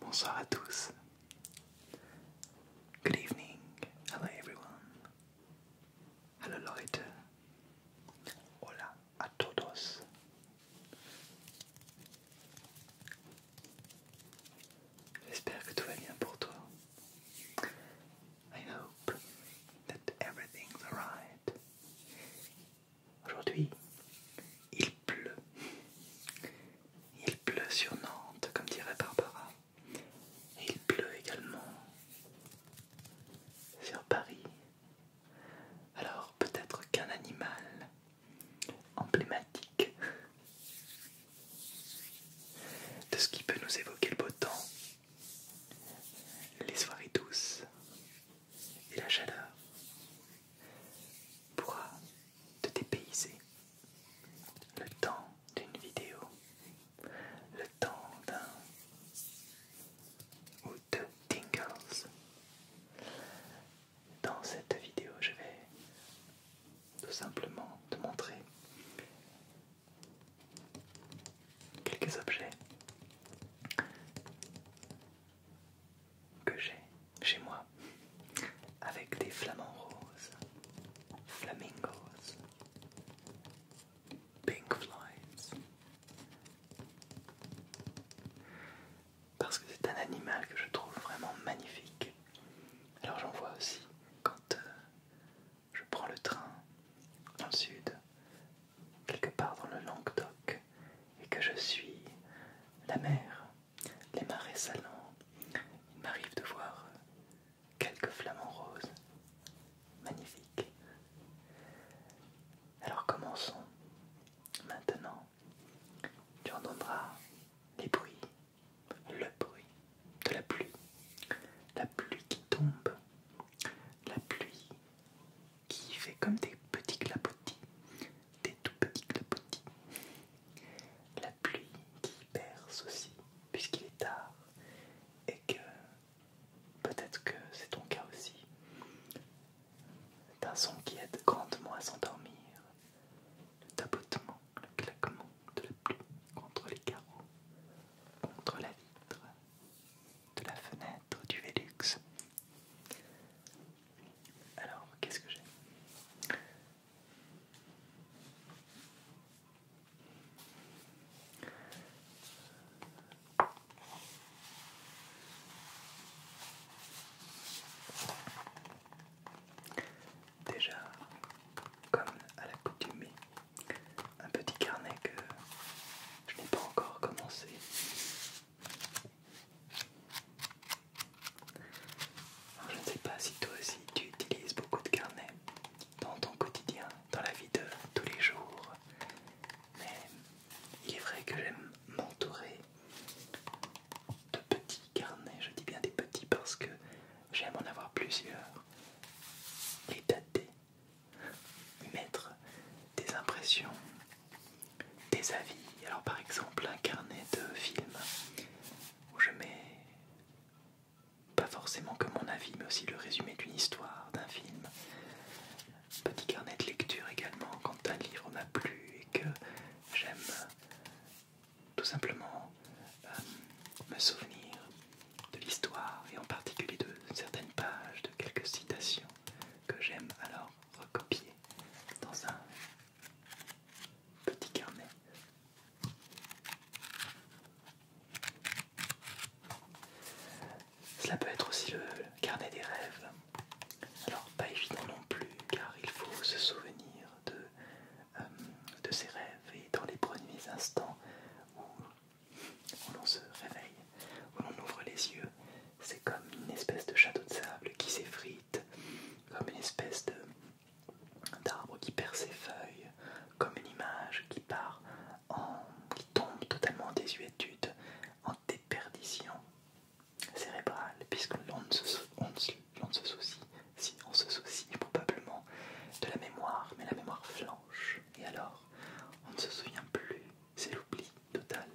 Bonsoir à tous. Good evening. Hello everyone. Hello Leute. Hola a todos. J'espère que tout va bien pour toi. I hope that everything's alright. Aujourd'hui, il pleut. Il pleut sur Nantes, comme dirait Barbara. il pleut également sur Paris. Alors peut-être qu'un animal emblématique de ce qui peut nous évoquer le beau temps les soirées douces et la chaleur pourra te dépayser le temps d'une vidéo, le temps d'un ou deux tingles. Dans cette vidéo, je vais tout simplement te montrer quelques objets que j'ai chez moi avec des flamants roses, flamingos, pink flies. Parce que c'est un animal que je trouve vraiment magnifique. Alors j'en vois aussi quand euh, je prends le train dans le sud, quelque part dans le Languedoc, et que je suis la mer, les marais salants, il m'arrive de voir quelques flamants roses. magnifiques. Alors commençons. Maintenant, tu entendras les bruits, le bruit de la pluie, la pluie qui tombe la pluie qui fait comme des petits clapotis, des tout petits clapotis. La pluie qui perce aussi, puisqu'il est tard, et que peut-être que c'est ton cas aussi. C'est un son qui aide grandement à s'endormir. Le tapotement, le claquement de la pluie contre les carreaux, contre la vitre, de la fenêtre du Vélux. Alors, qu'est-ce que j'ai Déjà, comme à la un petit carnet que je n'ai pas encore commencé. je ne sais pas si toi aussi tu utilises beaucoup de carnets dans ton quotidien, dans la vie de tous les jours, mais il est vrai que j'aime m'entourer de petits carnets, je dis bien des petits parce que j'aime en avoir plusieurs, et datés mettre des impressions, des avis. Alors par exemple un carnet de film où je mets pas forcément que mon avis mais aussi le résumé d'une histoire, d'un film. Petit carnet de lecture également quand un livre m'a plu et que j'aime tout simplement euh, me souvenir de l'histoire et en particulier de certaines pages, de quelques citations que j'aime alors recopier dans un petit carnet. Cela peut être aussi le carnet des rêves. Alors pas évident non plus car il faut se souvenir de, euh, ses rêves et dans les premiers instants où où l'on se réveille, où l'on ouvre les yeux, c'est comme une espèce de château de sable qui s'effrite, comme une espèce d'arbre qui perd ses feuilles, comme une image qui part en, qui tombe totalement en désuétude, en déperdition cérébrale, puisque l'on se, soucie, si on se soucie probablement de la mémoire, mais la mémoire flanque. Et alors, on ne se souvient plus, c'est l'oubli total.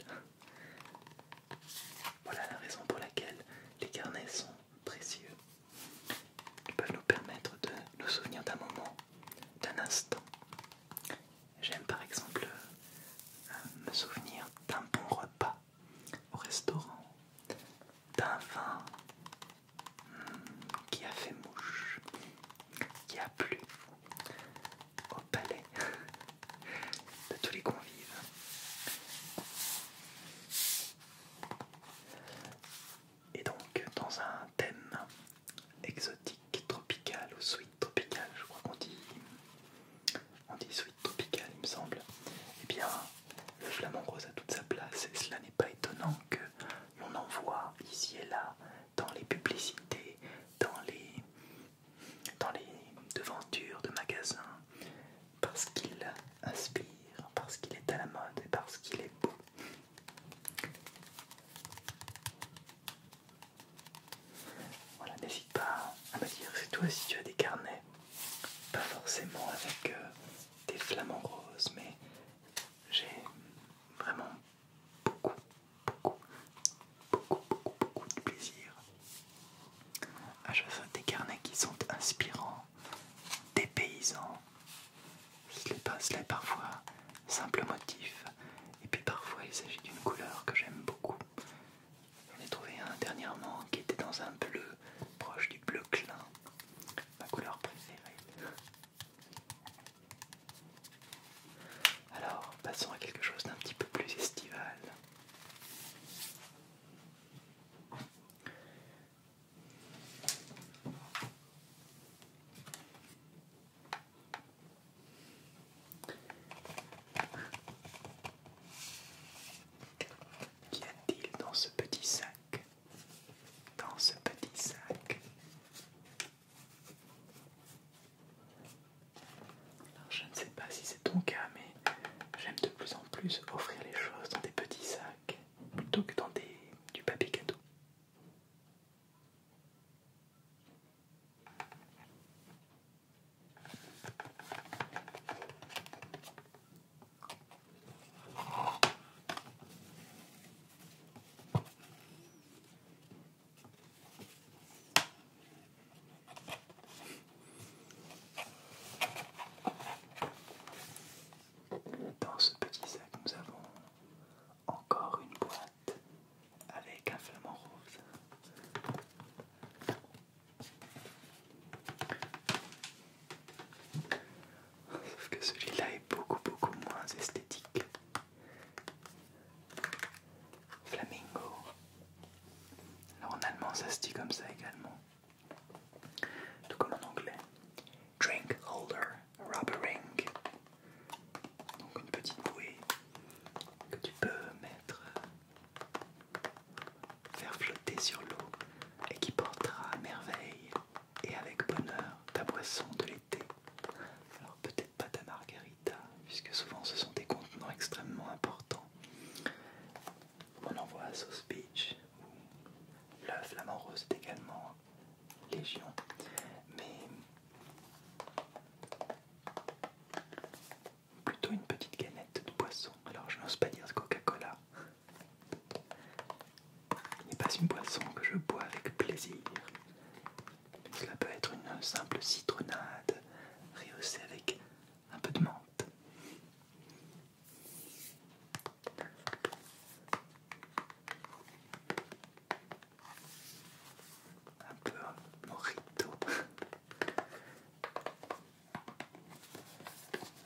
Voilà la raison pour laquelle les carnets sont précieux. Ils peuvent nous permettre de nous souvenir d'un moment, d'un instant. J'aime par exemple euh, me souvenir d'un bon repas au restaurant, d'un vin qui a fait mouche, qui a plu au palais de tous les convives. Et donc dans un thème exotique, tropical ou sweet tropical, je crois qu'on dit, on dit sweet tropical il me semble, et eh bien le flamand rose a toute sa place et cela n'est pas étonnant que on en voit ici et là dans les publicités, dans les, dans les devantures de magasins, parce qu'il inspire, parce qu'il est à la mode et parce qu'il est beau. Voilà, n'hésite pas à me dire si toi si tu as des carnets, pas forcément avec euh, des flamants roses, mais j'ai vraiment beaucoup, beaucoup, beaucoup, beaucoup, beaucoup de plaisir à choisir des carnets qui sont inspirants, des paysans. passe là parfois simple motif, et puis parfois il s'agit d'une couleur que j'aime beaucoup. J'en ai trouvé un dernièrement qui était dans un bleu proche du bleu clin ma couleur préférée. Alors, passons à quelque chose d'un petit peu plus estival. Qu'y a-t-il dans ce petit sac dans ce petit sac. Alors, je ne sais pas si c'est ton cas, mais j'aime de plus en plus offrir les choses dans des petits sacs plutôt que dans des, du papier cadeau. Dans ce petit sac, nous avons encore une boîte avec un flamant rose. Sauf que celui-là est beaucoup beaucoup moins esthétique. Flamingo. Alors en allemand ça se dit comme ça également. Tout comme en anglais. Drink holder, rubber ring. Donc une petite bouée que tu peux mettre, euh, faire flotter sur l'eau et qui portera à merveille et avec bonheur ta boisson de l'été. Alors peut-être pas ta margarita, puisque souvent ce sont des contenants extrêmement importants. On en voit à Sauce Beach, ou le flamand rose est également légion. Mais plutôt une petite canette de boisson. Alors je n'ose pas dire Coca-Cola n'est pas une boisson que je bois avec plaisir. Cela peut être une simple citronnade rehaussée avec un peu de menthe. Un peu un morito.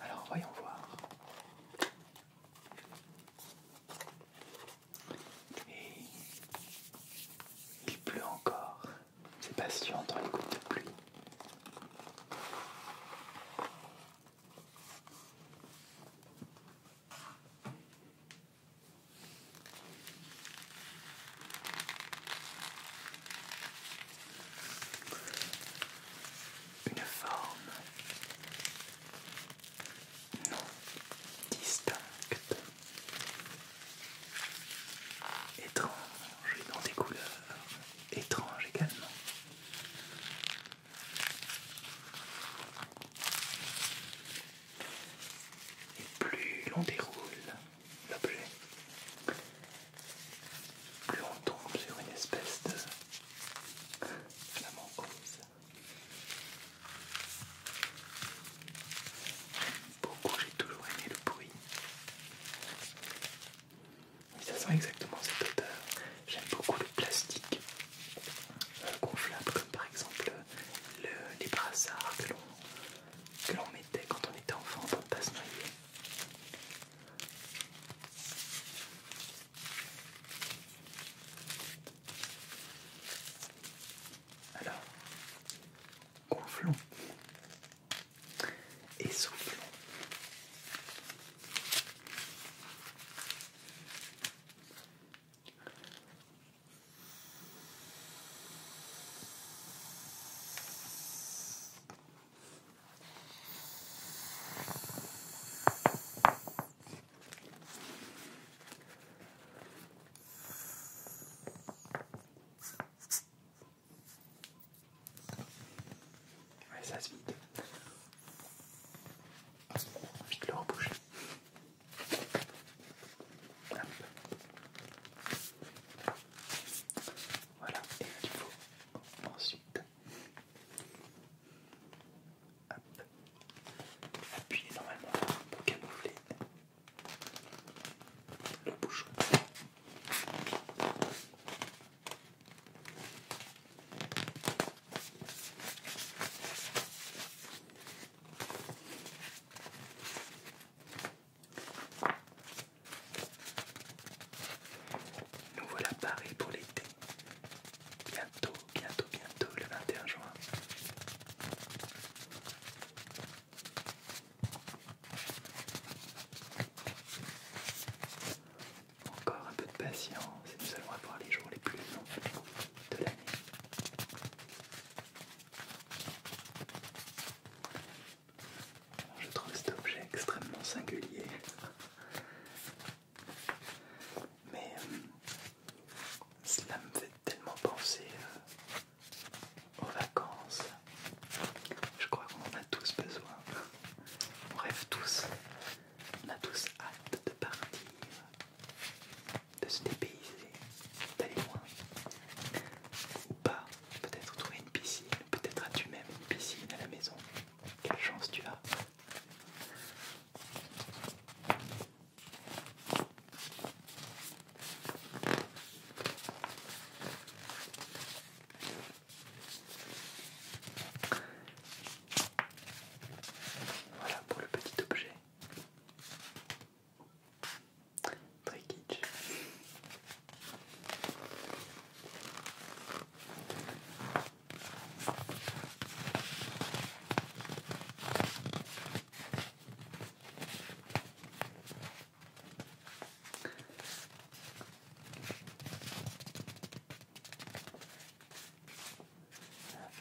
Alors voyons voir. il pleut encore. C'est passionnant, dans les de pluie une forme non distincte, étrange dans des couleurs étranges également. Et plus l'on déroule l'objet, plus on tombe sur une espèce de flamant rose. Beaucoup j'ai toujours aimé le bruit. ça sent exactement cette odeur. J'aime beaucoup le plastique euh, gonflable, comme par exemple les brassards que l'on mettait quand on était enfant pour ne pas se noyer. Alors, gonflons et soufflons ça se vide. Vite le reboucher. Voilà, et il faut ensuite Appuyez normalement pour camoufler le bouchon. Nous voilà parés pour l'été. Bientôt, bientôt, bientôt le 21 juin. Encore un peu de patience et nous allons avoir les jours les plus longs de l'année je trouve cet objet extrêmement singulier. Mais euh, cela me fait tellement penser euh, aux vacances. Je crois qu'on en a tous besoin. On rêve tous. On a tous hâte de partir, de se dépayser, d'aller loin. Ou pas, peut-être trouver une piscine, Peut-être as-tu même une piscine à la maison. Quelle chance tu as. Voilà pour le petit objet. Très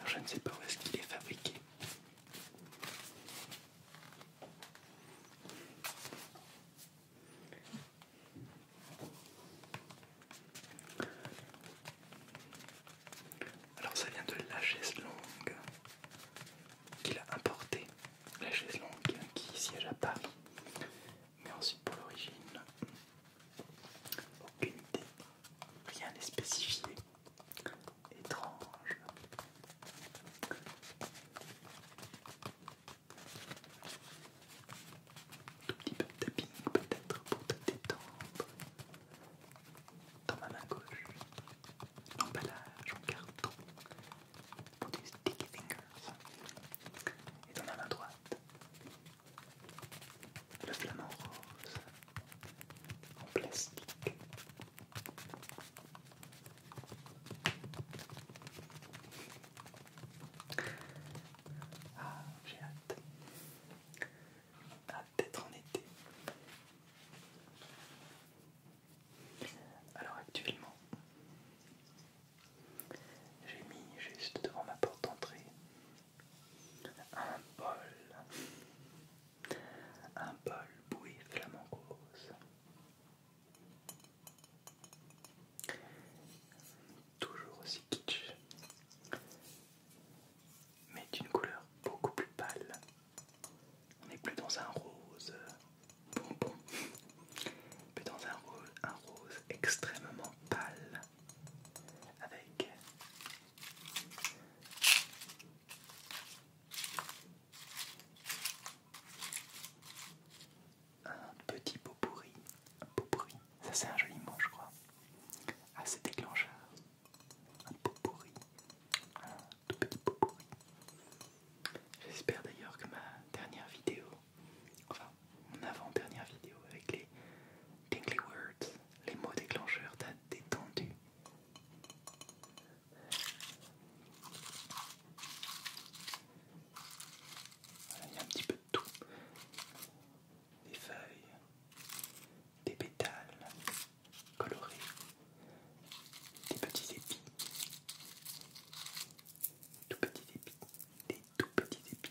je ne sais pas où est-ce qu'il est fabriqué. Alors ça vient de la chaise longue qu'il a importé, la chaise longue qui siège à Paris, mais ensuite pour l'origine, aucune idée, rien n'est spécifié, étrange. Un petit peu de tapping peut-être pour te détendre. Dans ma main gauche, l'emballage en carton pour des sticky fingers. Et dans ma main droite, le flamant rose en plastique. Ah, j'ai hâte. Hâte ah, d'être en été. Alors actuellement, j'ai mis juste devant ma porte d'entrée un bol, un bol bouillie flamand rose Toujours aussi kitsch, mais d'une couleur beaucoup plus pâle. On n'est plus dans un rose bonbon, mais dans un rose, un rose extrêmement pâle, avec un petit pot pourri, un pot pourri, ça c'est un joli mot je crois, assez ah, déclencheur, un pot pourri, un tout petit pot pourri. J'espère d'ailleurs que ma dernière vidéo, enfin mon avant-dernière vidéo avec les tingly words, les mots déclencheurs t'a détendu il y a un petit peu de tout. Des feuilles, des pétales colorés, des petits épis, tout petits épis, des tout petits épis.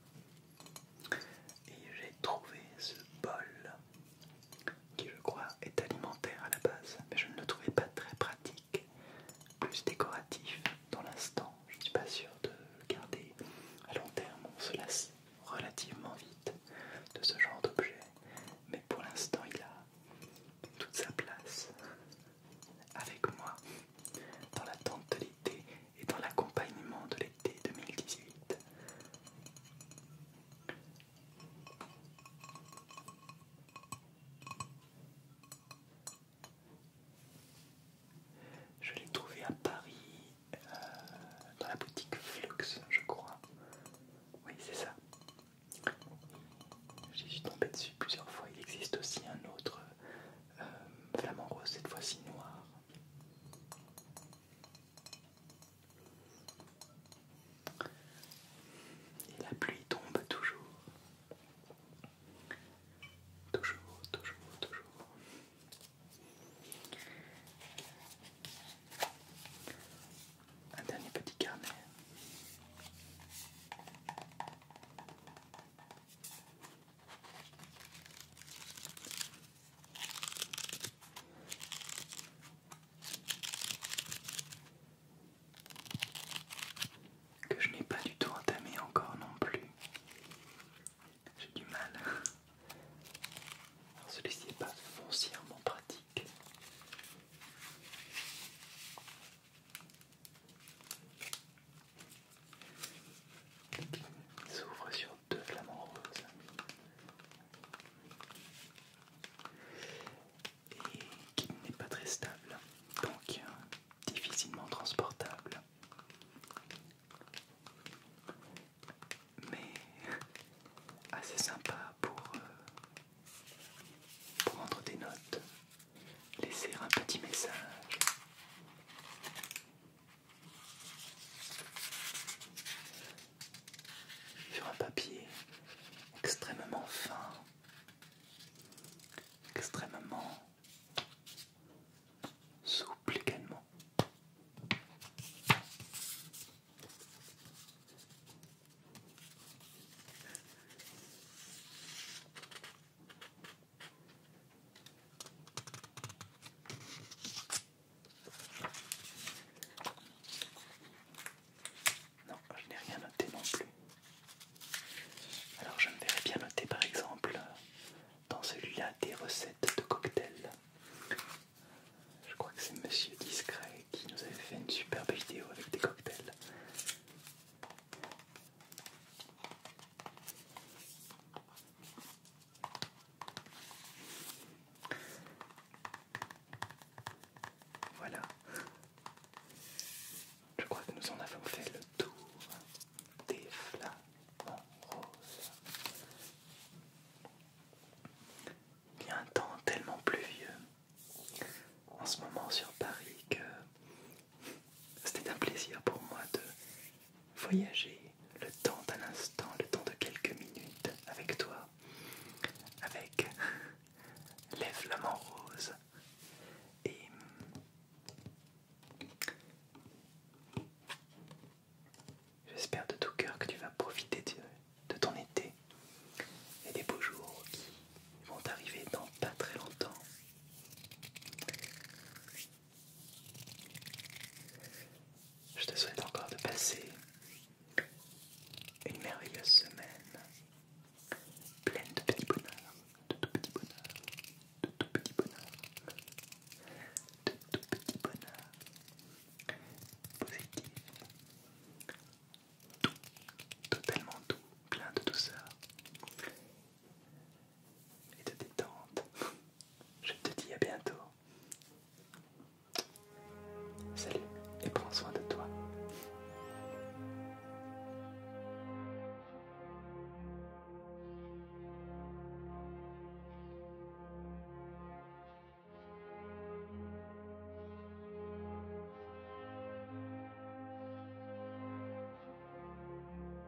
Et j'ai trouvé ce bol qui je crois est alimentaire à la base, mais je ne le trouvais pas très pratique, plus décoratif dans l'instant. Je ne suis pas sûr de garder à long terme, on se lasse relativement vite de ce genre d'objet, mais pour l'instant il a toute sa place avec moi dans la de l'été et dans l'accompagnement de l'été 2018. Je l'ai trouvé à Paris, euh, dans la boutique Flux, je crois. Oui, c'est ça. J'y suis tombé dessus plusieurs fois. Il existe aussi un autre euh, flamant rose, cette fois-ci noir, et la pluie tombe toujours. Toujours, toujours, toujours. Un dernier petit carnet que je n'ai pas du tout entamé encore non plus. J'ai du mal. Celui-ci n'est pas foncièrement pratique s'ouvre sur deux flamants roses. Et qui n'est pas très stable, donc difficilement transportable. Mais assez sympa pour euh, prendre des notes, laisser un petit message sur un papier extrêmement fin, extrêmement souple également. Non, je n'ai rien noté non plus. Alors je me verrais bien noter par exemple dans celui-là des recettes de cocktails. Je crois que c'est Monsieur Discret qui nous avait fait une superbe vidéo avec des cocktails. Voilà. Je crois que nous en avons fait le tour des flamants roses. Il y a un temps tellement pluvieux en ce moment sur Paris que c'était un plaisir pour moi de voyager le temps d'un instant, le temps de quelques minutes avec toi, avec les rose. Et j'espère de tout cœur que tu vas profiter de ton été et des beaux jours qui vont arriver dans pas très longtemps. Je te souhaite encore de passer une merveilleuse semaine pleine de petits bonheurs, de tout petits bonheurs, de tout petits bonheurs, de tout petits bonheurs positif, tout, totalement tout, plein de douceur et de détente. Je te dis à bientôt. Salut et prends soin de toi.